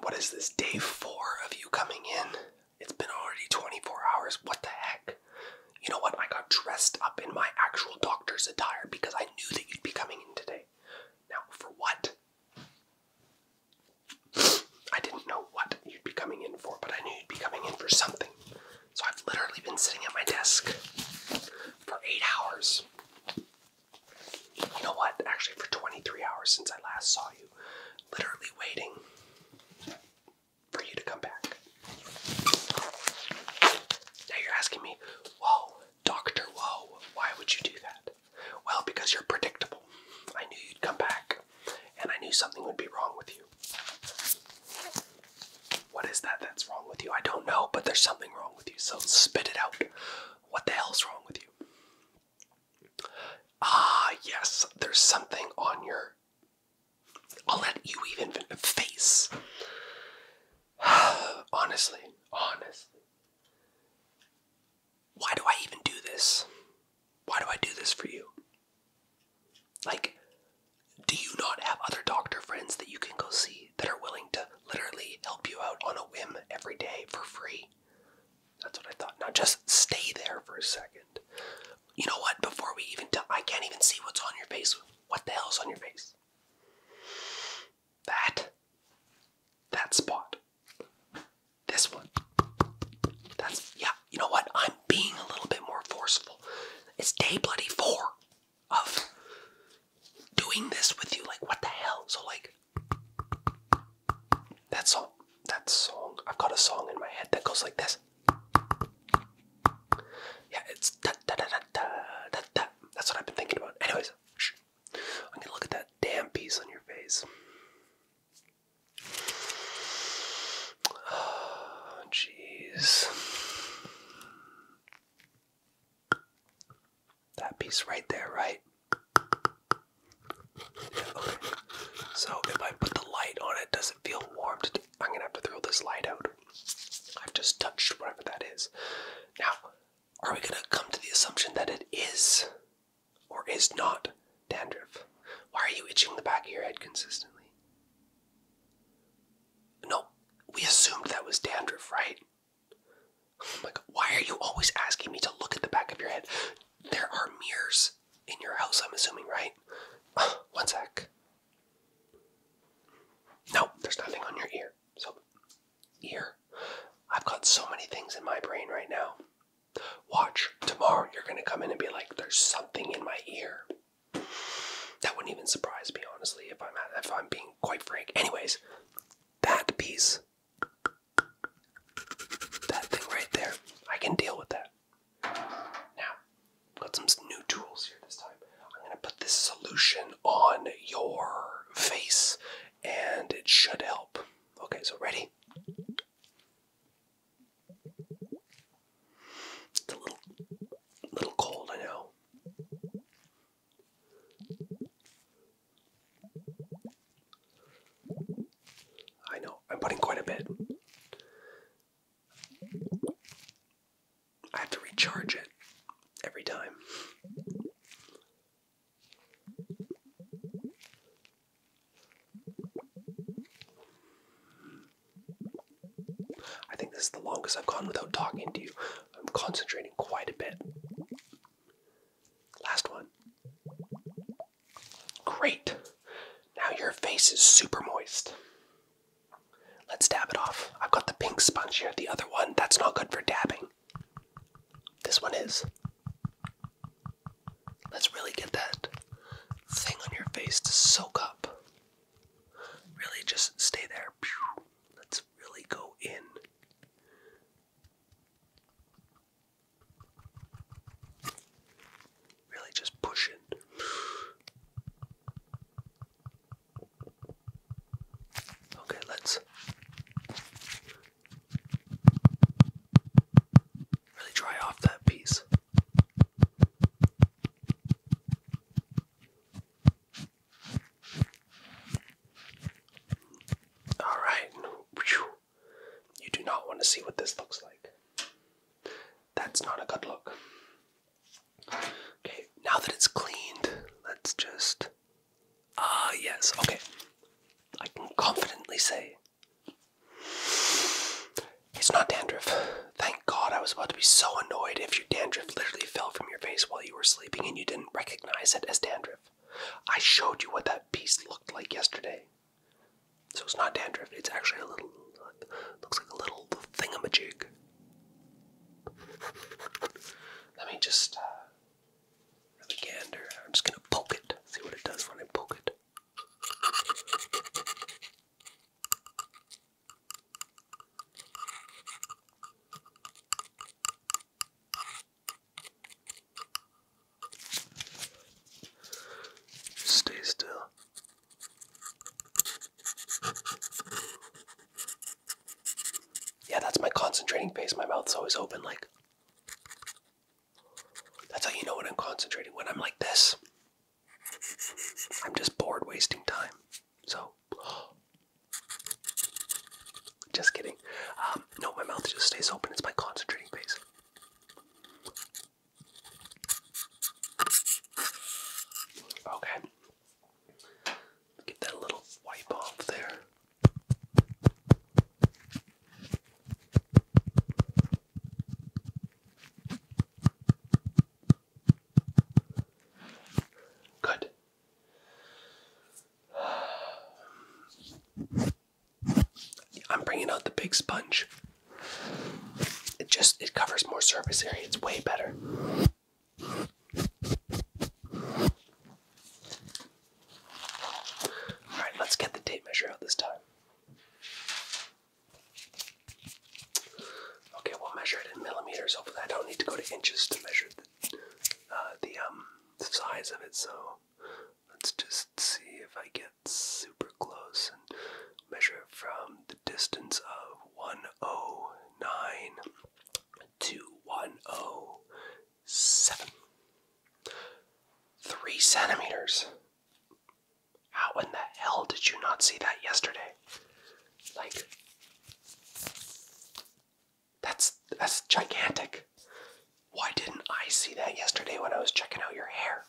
What is this? Day four of you coming in? It's been already 24 hours. What the heck? You know what? I got dressed up in my actual doctor's attire because I knew that you'd be coming in today. Now, for what? I didn't know what you'd be coming in for, but I knew you'd be coming in for something. So I've literally been sitting at my desk for eight hours you know what? Actually, for 23 hours since I last saw you, literally waiting for you to come back. Now you're asking me, whoa, Dr. Whoa, why would you do that? Well, because you're predictable. I knew you'd come back, and I knew something would be wrong with you. What is that that's wrong with you? I don't know, but there's something wrong with you, so spit it out. What the hell's wrong with you? Ah, yes, there's something on your. I'll let you even face. honestly, honestly. Why do I even do this? Why do I do this for you? Like, do you not have other doctor friends that you can go see that are willing to literally help you out on a whim every day for free? That's what I thought. Now just stay there for a second. You know what? Before we even I can't even see what's on your face. What the hell's on your face? That. That spot. This one. That's, yeah, you know what? I'm being a little bit more forceful. It's day bloody four of doing this with you. Like, what the hell? So, like, that song, that song, I've got a song in my head that goes like this. Yeah, it's da da da da da da That's what I've been thinking about. Anyways, I'm gonna look at that damn piece on your face. Oh, jeez. That piece right there, right? So if I put the light on it, does it feel warm? I'm gonna have to throw this light out. I've just touched whatever that is. Now, are we gonna come to the assumption that it is or is not dandruff? Why are you itching the back of your head consistently? No, we assumed that was dandruff, right? Oh my god, why are you always asking me to look at the back of your head? There are mirrors in your house, I'm assuming, right? one sec. No, there's nothing on your ear. So, ear. I've got so many things in my brain right now. Watch, tomorrow you're gonna come in and be like, there's something in my ear. That wouldn't even surprise me, honestly, if I'm if I'm being quite frank. Anyways, that piece that thing right there. I can deal with that. Now, got some new tools here this time. I'm going to put this solution on your face and it should help. Okay, so ready? It's a little little cold, I know. I know, I'm putting quite a bit. I have to recharge it every time. I think this is the longest I've gone without talking to you. I'm concentrating quite a bit. Last one. Great. Now your face is super moist. Let's dab it off. I've got the pink sponge here. The other one, that's not good for dabbing. This one is. Let's really get that thing on your face to soak up. Really just stay there. Let's really go in. Really just pushing. Okay, let's really dry off that piece. All right. You do not want to see what this looks like. That's not a good look. Okay, now that it's cleaned, let's just. Ah, yes, okay. I can confidently say it's not dandruff. Thank God I was about to be so annoyed if your dandruff literally fell from your face while you were sleeping and you didn't recognize it as dandruff. I showed you what that piece looked like yesterday. So it's not dandruff, it's actually a little, looks like a little thingamajig. Let me just uh, really I'm just gonna poke it, see what it does when I poke it. Stay still. Yeah, that's my concentrating face. My mouth's always open, like. That's how you know when I'm concentrating. When I'm like this, I'm just bored wasting time. So, just kidding. Um, no, my mouth just stays open. It's my concentrating phase. Okay. Get that little wipe off there. Good. I'm bringing out the big sponge. It just it covers more surface area. It's way better. All right, let's get the tape measure out this time. Okay, we'll measure it in millimeters. over there. I don't need to go to inches to measure the uh, the um size of it. So let's just see if I get super close and measure it from the distance of 109 to 107. Three centimeters. How in the hell did you not see that yesterday? Like, that's that's gigantic. Why didn't I see that yesterday when I was checking out your hair?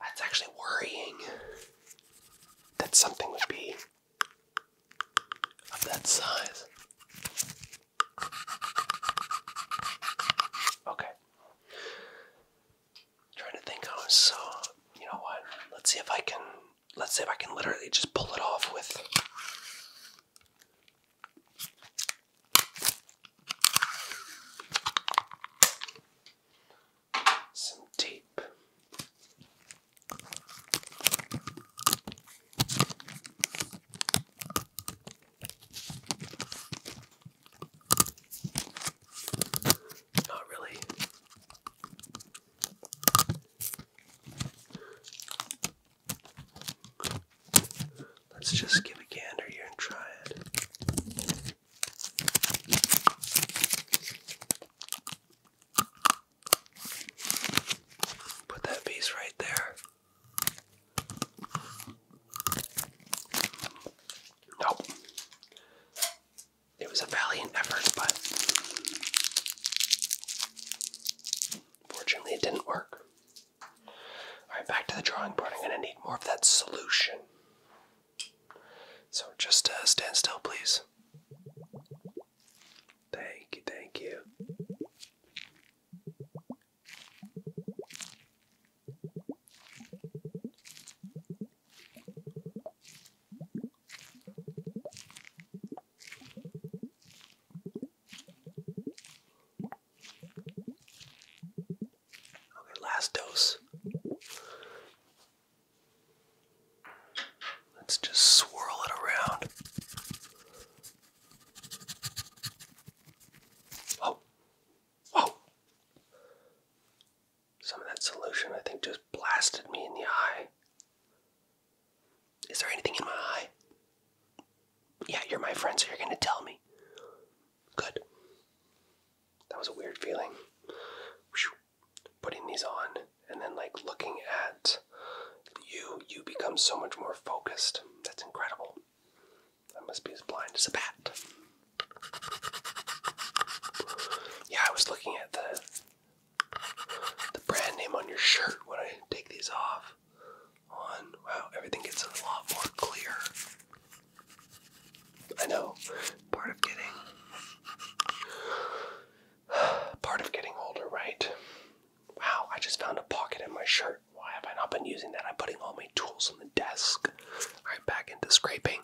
That's actually worrying that something would be of that size. Okay. trying to think how I saw. You know what? Let's see if I can let's see if I can literally just pull it off with. Some tape. Not really Let's just give a gander here and try it. Put that piece right there. Nope. It was a valiant effort, but unfortunately, it didn't work. Alright, back to the drawing board. I'm going to need more of that solution. So just uh, stand still, please. Thank you, thank you. Okay, last dose. Let's just swirl it around. Oh. Oh. Some of that solution, I think, just blasted me in the eye. Is there anything in my eye? Yeah, you're my friend, so you're gonna tell me. Good. That was a weird feeling. Putting these on and then, like, looking at you, you become so much more focused. That's incredible. I must be as blind as a bat. Yeah, I was looking at the the brand name on your shirt when I take these off. On wow, everything gets a lot more clear. I know, part of getting, part of getting older, right? Wow, I just found a pocket in my shirt. Why have I not been using that? I'm putting all my tools on the desk. All right, back into scraping.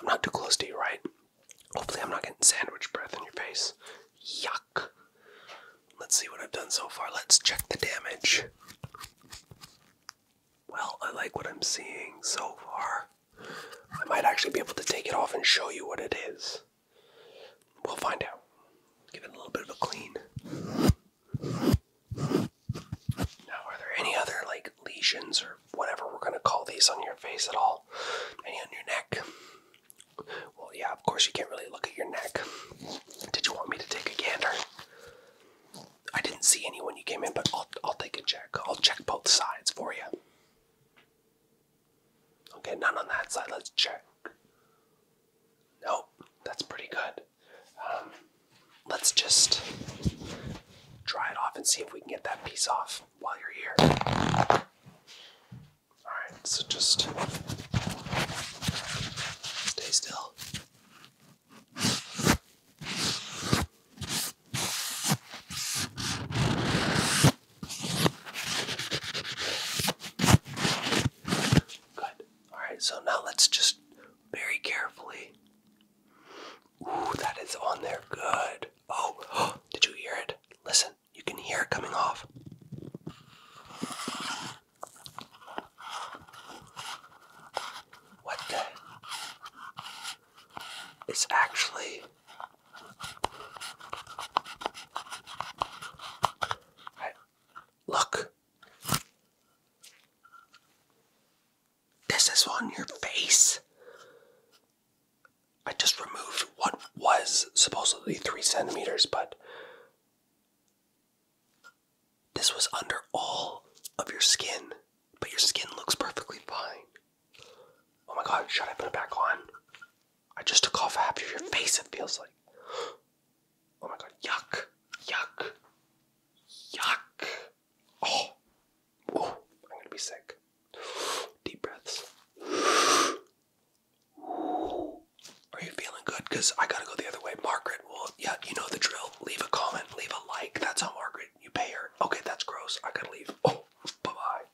I'm not too close to you, right? Hopefully, I'm not getting sandwich breath in your face. Yuck. Let's see what I've done so far. Let's check the damage. Well, I like what I'm seeing so far. I might actually be able to take it off and show you what it is. We'll find out. Give it a little bit of a clean. Now, are there any other like lesions or whatever we're going to call these on your face at all. Maybe on your neck. Well, yeah, of course you can't really look at your neck. Did you want me to take a gander? I didn't see any when you came in, but I'll, I'll take a check. I'll check both sides for you. Okay, none on that side. Let's check. Nope, that's pretty good. Um, let's just try it off and see if we can get that piece off while you're here. Alright, so just stay still. Good. Alright, so now let's just very carefully. Ooh, that is on there. Good. Oh, did you hear it? Listen, you can hear it coming off. What the? It's actually. look. This is on your face. I just removed what was supposedly three centimeters, but this was under all of your skin, but your skin looks perfectly fine. Oh my god, should I put it back on? I just took off half of your face, it feels like. Oh my god, yuck, yuck, yuck. Oh, I'm gonna be sick. Deep breaths. Are you feeling good? Because I gotta go the other way. Margaret, well, yeah, you know the drill. Leave a comment, leave a like. That's how Margaret, you pay her. Okay, that's gross. I gotta leave. Oh, bye bye.